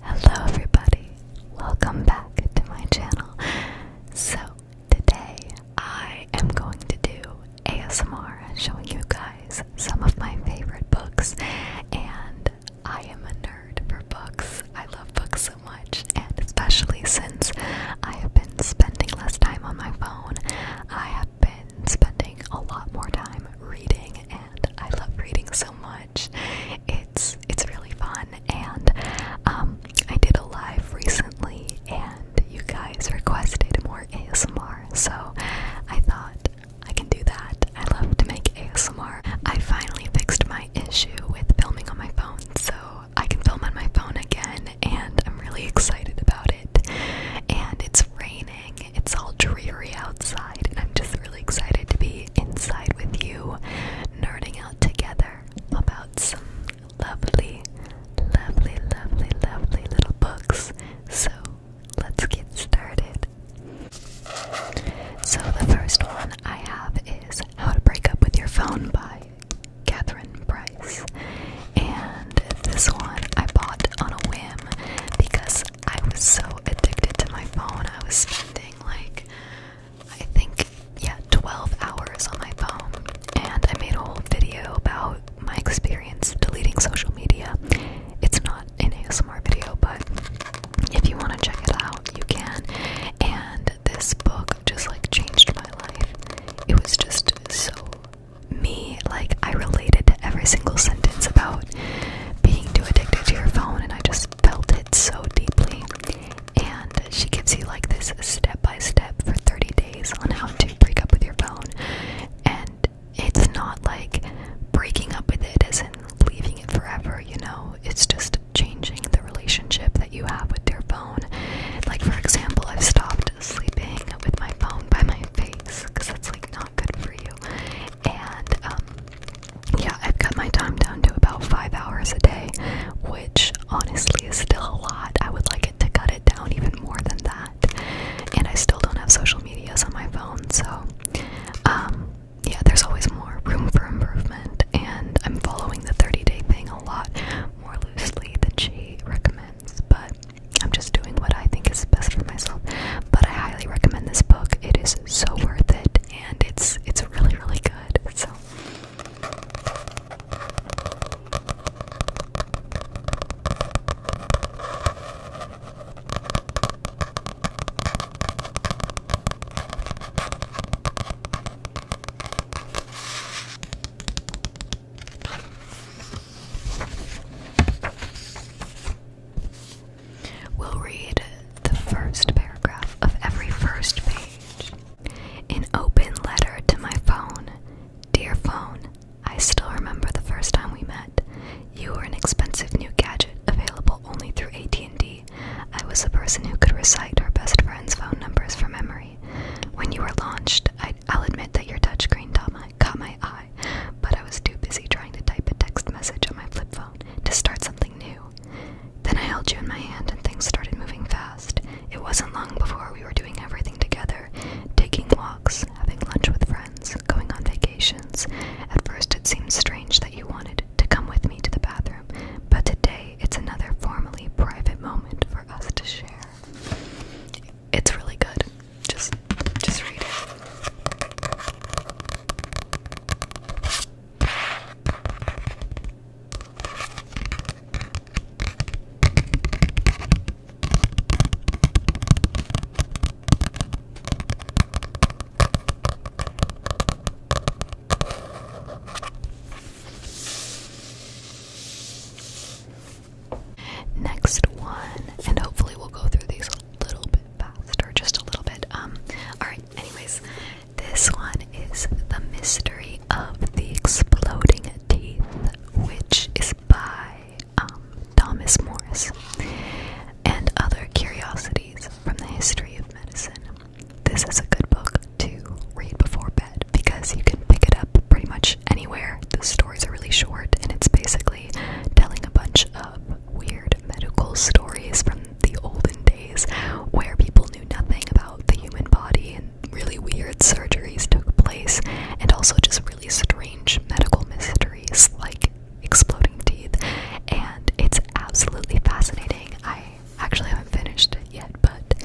Hello, everybody, welcome back to my channel. So, today I am going to do ASMR showing you guys some of my favorite books. And I am a nerd for books, I love books so much, and especially since I have been spending less time on my phone, I have been spending a lot more time reading, and I love reading so much. It's it's really fun, and um, I did a live recently, and you guys requested more ASMR, so I thought I can do that. I love to make ASMR. I finally fixed my issue with filming on my phone, so I can film on my phone again, and I'm really excited about it. And it's raining, it's all dreary outside, I'm just really excited to be inside with you, nerding out together about some lovely, lovely, lovely, lovely little books. So let's get started. So, the first one I have is How to Break Up with Your Phone by Katherine Price. And this one I bought on a whim because I was so addicted to my phone. I was spending like, I think, yeah, 12 hours on my phone. And I made a whole video about my experience deleting social media. It's not an ASMR video, but if you want to check it out, you can. And this book just like changed my life. It was just so me. Like, I related to every single sentence about being too addicted to your phone, and I just felt it so deeply. And she gives you like this step by step for 30 days on how to break up with your phone. And it's not like breaking up with it as in leaving it forever, you know? It's just changing the relationship that you have with your phone. Like, for example, I've stopped sleeping with my phone by my face because that's like not good for you and um, yeah, I've cut my time down to about five hours a day, which honestly is still a lot. I would like it to cut it down even more than that. And I still don't have social medias on my phone, so um, yeah, there's always more room for improvement. And I'm following the 30 day thing a lot more loosely than she recommends, but I'm just doing what I think is best for myself. But I highly recommend this book, it is so worth it and it's it's really really good. So We'll read the first paragraph of every first page. An open letter to my phone. Dear phone, I still remember the first time we met. You were an expensive new gadget available only through AT&T. I was the person who could recite our best friend's phone numbers from memory. When you were launched, I, will admit that your touch screen my, caught my eye but I was too busy trying to type a text message on my flip phone to start something new. Then I held you in my hand and things started moving fast. It wasn't long before we were doing everything together taking walks, having lunch with friends, going on vacations. At first, it seemed strange that you wanted to come with me to the bathroom, but today it's another formally private moment for us to share. It's really good. Just just read it. Next one, and hopefully we'll go through these a little bit faster just a little bit. Um, alright, anyways, this one is The Mystery of the Exploding Teeth, which is by um, Thomas Morris, and Other Curiosities from the History of Medicine. This is a good book to read before bed because you can pick it up pretty much anywhere. The stories are really short and it's basically telling a bunch of weird medical stories from the olden days where people knew nothing about the human body and really weird surgeries took place, and also just really strange medical mysteries like exploding teeth. And it's absolutely fascinating. I actually haven't finished it yet, but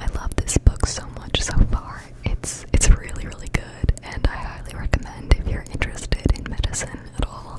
I love this book so much so far. It's it's really really good, and I highly recommend if you're interested in medicine at all.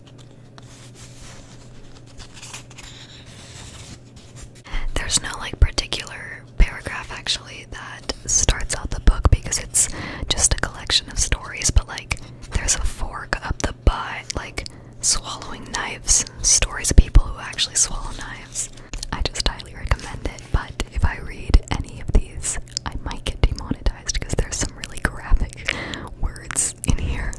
There's no like particular paragraph actually that starts out the book because it's just a collection of stories, but like there's a fork up the butt, like swallowing knives, stories of people who actually swallow knives. I just highly recommend it, but if I read any of these, I might get demonetized because there's some really graphic words in here.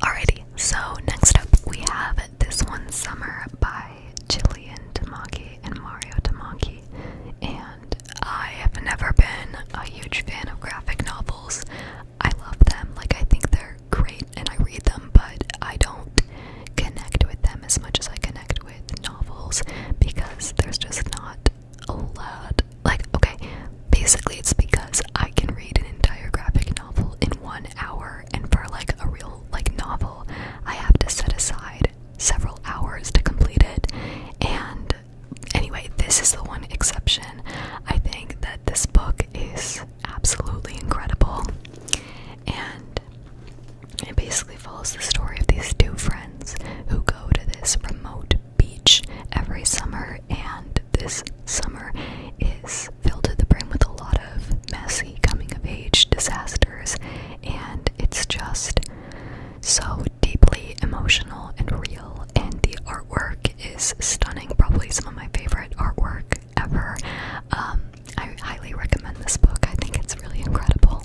Alrighty, so next up we have This One Summer by Jillian Tamaki and Mario Tamaki, and I have never been a huge fan of graphic novels. I love them, like, I think they're great and I read them, but I don't connect with them as much as I connect with novels because there's just not a lot. Like, okay, basically, it's because I can read an entire graphic novel in one hour, and for like a real like novel, I have to set aside several hours to complete it and anyway this is the one exception i think that this book is absolutely incredible and it basically follows the story of these two friends who go to this remote beach every summer and this summer is filled to the brim with a lot of messy coming of age disasters and it's just so deeply emotional and real, and the artwork is stunning. Probably some of my favorite artwork ever. Um, I highly recommend this book, I think it's really incredible.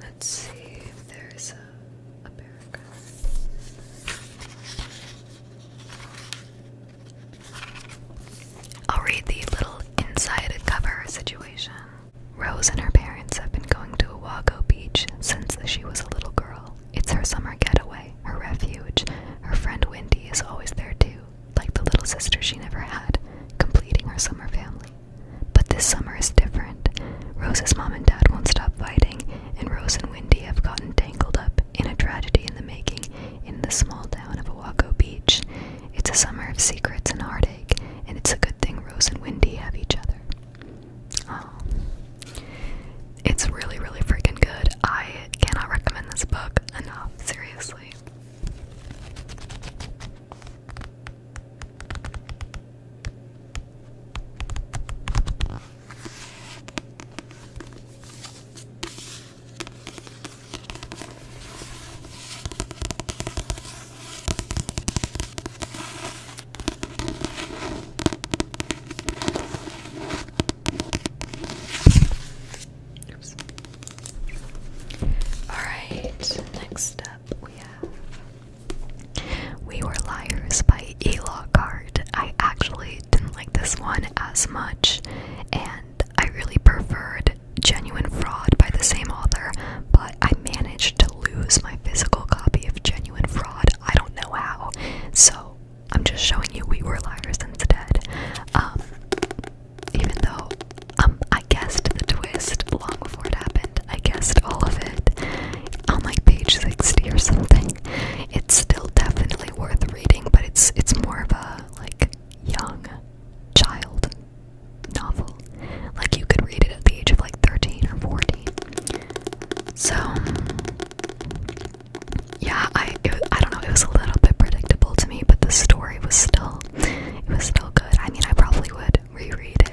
Let's see if there's a, paragraph. I'll read the little inside cover situation. Rose and her parents have been going to Oahu Beach since she was a little girl. It's her summer getaway, her refuge. Her friend Wendy is always there too, like the little sister she never had, completing her summer family. But this summer is different. Rose's mom and dad won't stop fighting, and Rose and Wendy have gotten tangled up in a tragedy in the making in the small town of Owako Beach. It's a summer of secrets and heartache, and it's a good thing Rose and Wendy have each other. It's really, really freaking good. I cannot recommend this book enough, seriously. Alright, next up we have We Were Liars by E. Lockhart. I actually didn't like this one as much, and I really preferred Genuine Fraud by the same author, but I managed to lose my physical copy of Genuine Fraud. I don't know how. So I'm just showing you we were liars instead. Um, even though um, I guessed the twist long before it happened, I guessed all of it on like page 60 or something. It's still definitely worth reading, but it's it's more of a like young child novel. Like you could read it at the age of like 13 or 14. So yeah, I I don't know, it was a little bit predictable to me, but the story was still it was still good. I mean, I probably would reread it.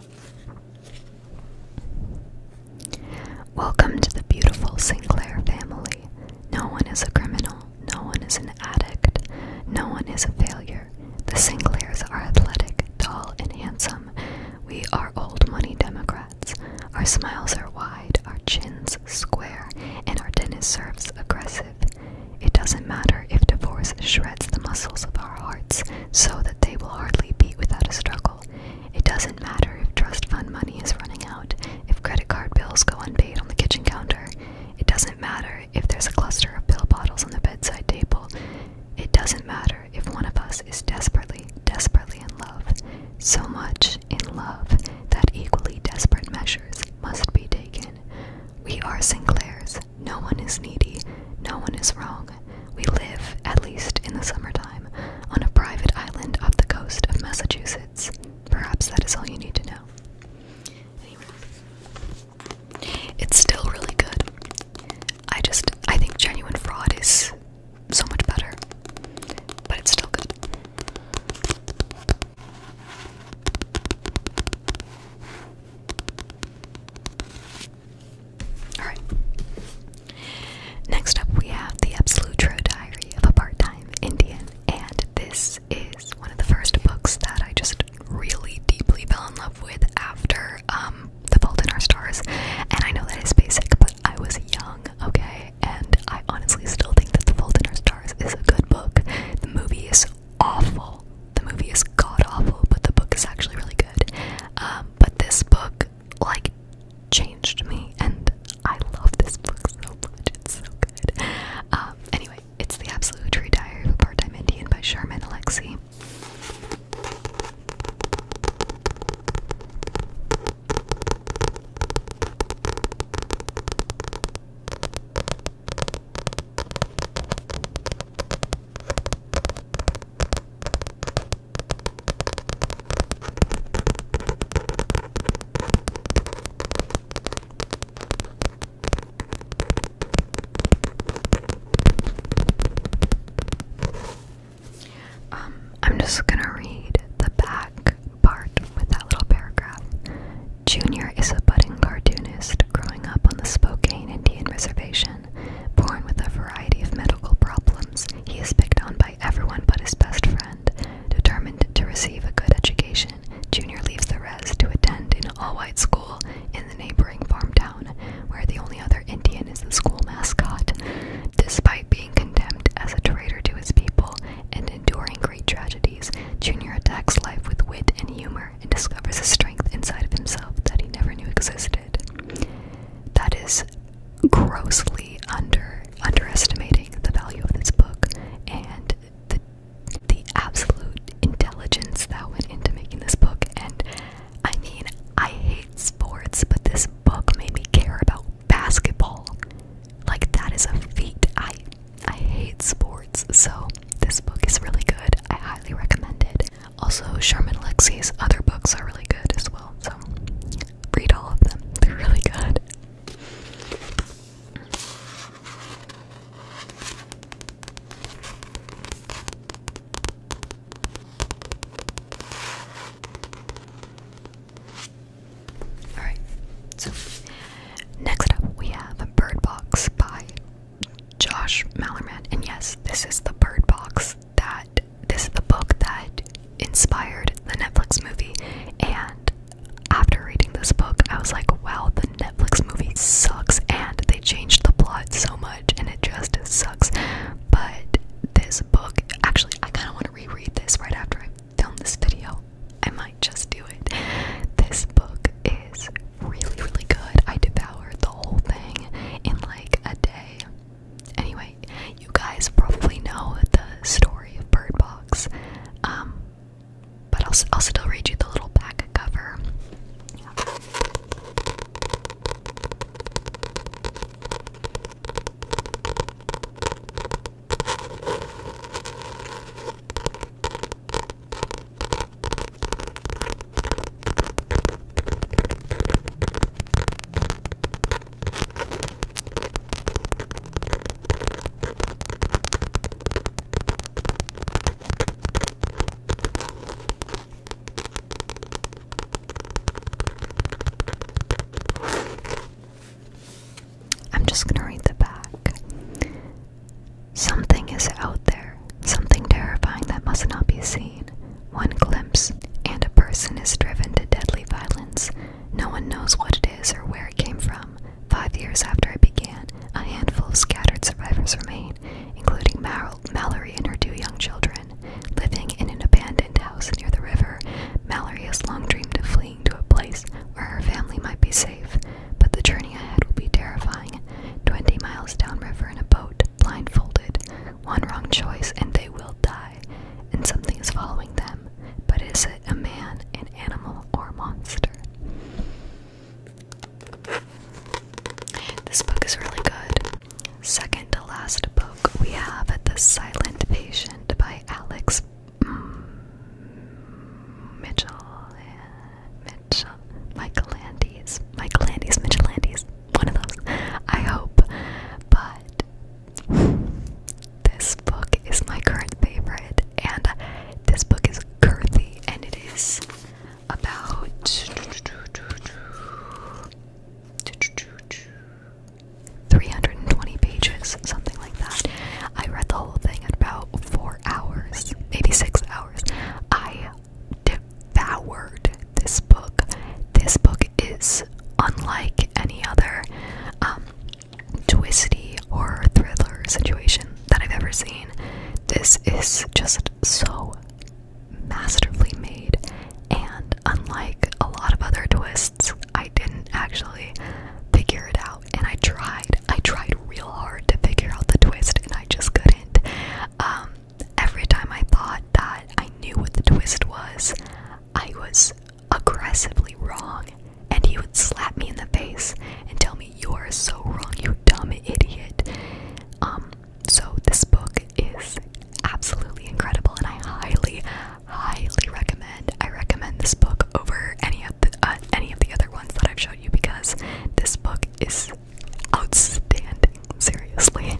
Welcome to the beautiful Sinclair family. No one is a criminal, no one is an addict, no one is a failure. The Sinclairs are athletic, tall, and handsome. We are old money Democrats. Our smiles are wide, our chins square, and our tennis serves aggressive. It doesn't matter if divorce shreds the muscles of our hearts so that they will hardly beat without a struggle. It doesn't matter if trust fund money is running out, if credit card bills go unpaid on the kitchen counter. It doesn't matter if there's a cluster of pill bottles on the bedside table. It doesn't matter if one of us is desperately, desperately in love. So much in love that equally desperate measures must be taken. We are Sinclairs. No one is needy. No one is wrong. We live, at least in the summertime, on a private island off the coast of Massachusetts. Perhaps that is all you need to know. It's still really good. I just, I think genuine fraud is so much better, but it's still good. Alright. Next up, we have The Absolute True Diary of a Part Time Indian, and this is one of the first books that I just really deeply fell in love with after um, The Fault in Our Stars. And I know that is basic, but I was young, okay? And I honestly still think that The Fault in Our Stars is a good book. The movie is awful. The movie is god awful, but the book is actually really good. Um, but this book like changed me and I love this book so much. It's so good. Um, anyway, it's The Absolute Tree Diary of a Part-Time Indian by Sherman Alexie. Um, I'm just gonna read the back part with that little paragraph. Junior is a budding cartoonist growing up on the Spokane Indian Reservation. Born with a variety of medical problems, he is picked on by everyone but his best friend. Determined to receive a good education, Junior leaves the rez to attend an all white school in the neighboring farm town, where the only other Indian is the school mascot. Despite being condemned as a traitor to his people and enduring great tragedies, Junior attacks life with wit and humor and discovers a strength inside of himself that he never knew existed. That is grossly under underestimating the value of this book and the the absolute intelligence that went into making this book. And I mean, I hate sports, but this book made me care about basketball. Like that is a feat. I I hate sports, so this book is really good. I highly recommend it. Also, Sherman Lexi's other books are really good as well, so read all of them. They're really good. Alright, so next up we have Bird Box by Josh Malerman. And yes, this is the Bird Box that this is the book that inspired the Netflix movie. And after reading this book, I was like, wow, the Netflix movie sucks. And they changed the plot so much, and it just sucks. But this book, actually, I kind of want to reread this right after I film this video. I might just do it. This book is really, really good. I devoured the whole thing in like a day. Anyway, you guys probably know the story of Bird Box, um, but I'll, still read you the little back cover. I'm just going to read the back. Something is out there, something terrifying that must not be seen one glimpse, and a person is driven to deadly violence. No one knows what it is or where it came from. Five years after it began, a handful of scattered survivors remain, including Mal Mallory and her two young children. Living in an abandoned house near the river, Mallory has long dreamed of fleeing to a place where her family might be safe, but the journey ahead will be terrifying. Twenty miles downriver in a boat, blindfolded. One wrong choice and they will die, and something is following them. But is it a man, an animal, or a monster? This book is really good. Second to last book, we have The Silent Patient by Alex mm, Mitchell. Mitchell. Michael Landis. Michael Landis. Mitchell Landis one of those. I hope. But this book is my current favorite, and this book is girthy, and it is about 320 pages, something like that. I read the whole thing in about four hours, maybe six hours. I devoured this book. This book is unlike any other um, twisty or thriller situation that I've ever seen. This is just so masterfully made, and unlike a lot of other twists, I didn't actually figure it out. And I tried, I tried real hard to figure out the twist, and I just couldn't. Um, every time I thought that I knew what the twist was, I was aggressively wrong, and he would slap me in the face and tell me, You're so wrong, you dumb idiot. Um, so this book is absolutely incredible, and I highly, highly recommend. I recommend this book over any of the uh, any of the other ones that I've showed you because this book is outstanding. Seriously.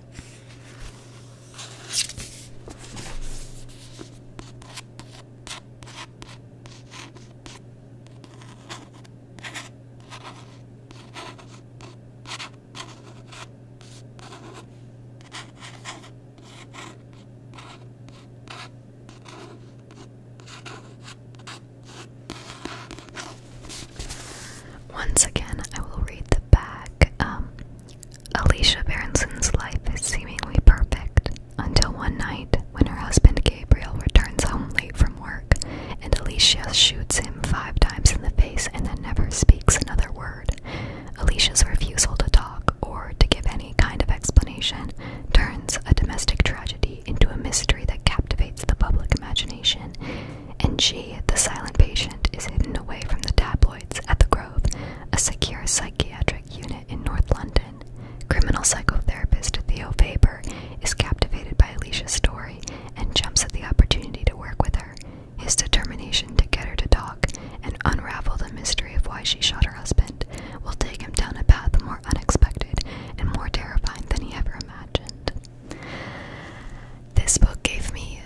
Once again, I will read the bag um, Alicia Berenson's life is seemingly perfect until one night when her husband Gabriel returns home late from work and Alicia shoots him five times in the face and then never speaks another word. Alicia's refusal to talk or to give any kind of explanation turns a domestic tragedy into a mystery that captivates the public imagination and she, the silent patient, is hidden away from the tabloids at the Grove, a secure psychiatric unit in North London. Criminal psychotherapist Theo Faber is captivated by Alicia's story and jumps at the opportunity to work with her. His determination to get her to talk and unravel the mystery of why she shot her husband will take him down a path more unexpected and more terrifying than he ever imagined. This book gave me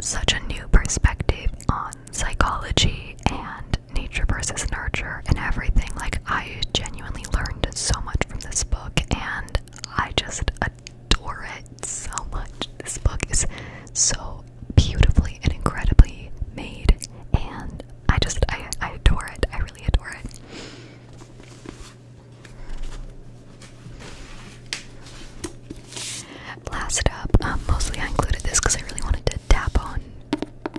such a new perspective on psychology and nature versus nurture and everything. Like, I genuinely learned so much from this book, and I just adore it so much. This book is so beautifully and incredibly made, and I just, I, adore it. I really adore it. Last up, um, mostly I included this because I really wanted to tap on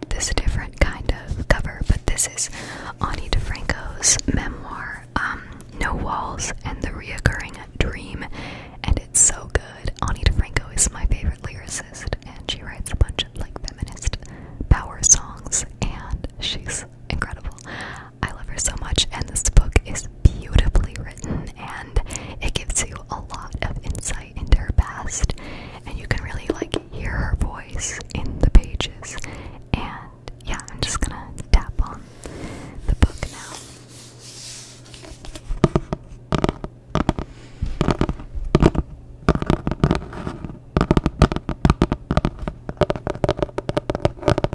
this different kind of cover, but this is Ani DeFranco's memoir, um, No Walls and the Reoccurring Dream, and it's so good. Ani DeFranco is my favorite lyricist, and she writes a bunch of like feminist power songs, and she's incredible. I love her so much, and this book is beautifully written and it gives you a lot of insight into her past, and you can really like hear her voice in the pages. And yeah, I'm just gonna tap on the book now.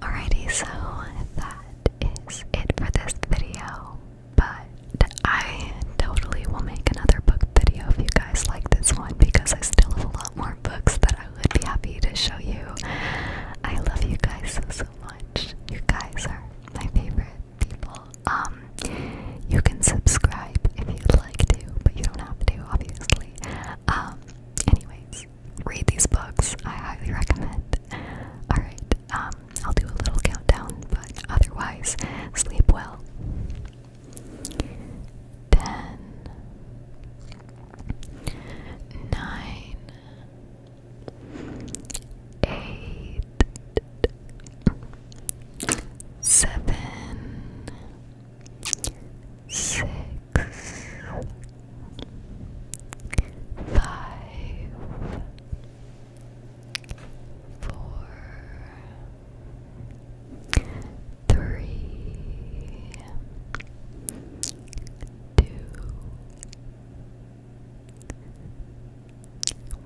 Alrighty, so that is it for this video. But I totally will make another book video if you guys like this one because I still have a lot more books that I would be happy to show you. I love you guys so, so much. You guys are my favorite people. Um, you can subscribe if you'd like to, but you don't have to, obviously. Um, anyways, read these books. I highly recommend. Alright, um, I'll do a little countdown, but otherwise, sleep well. 10, four, three, two,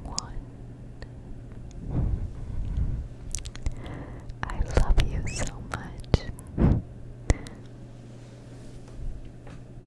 one. I love you so much.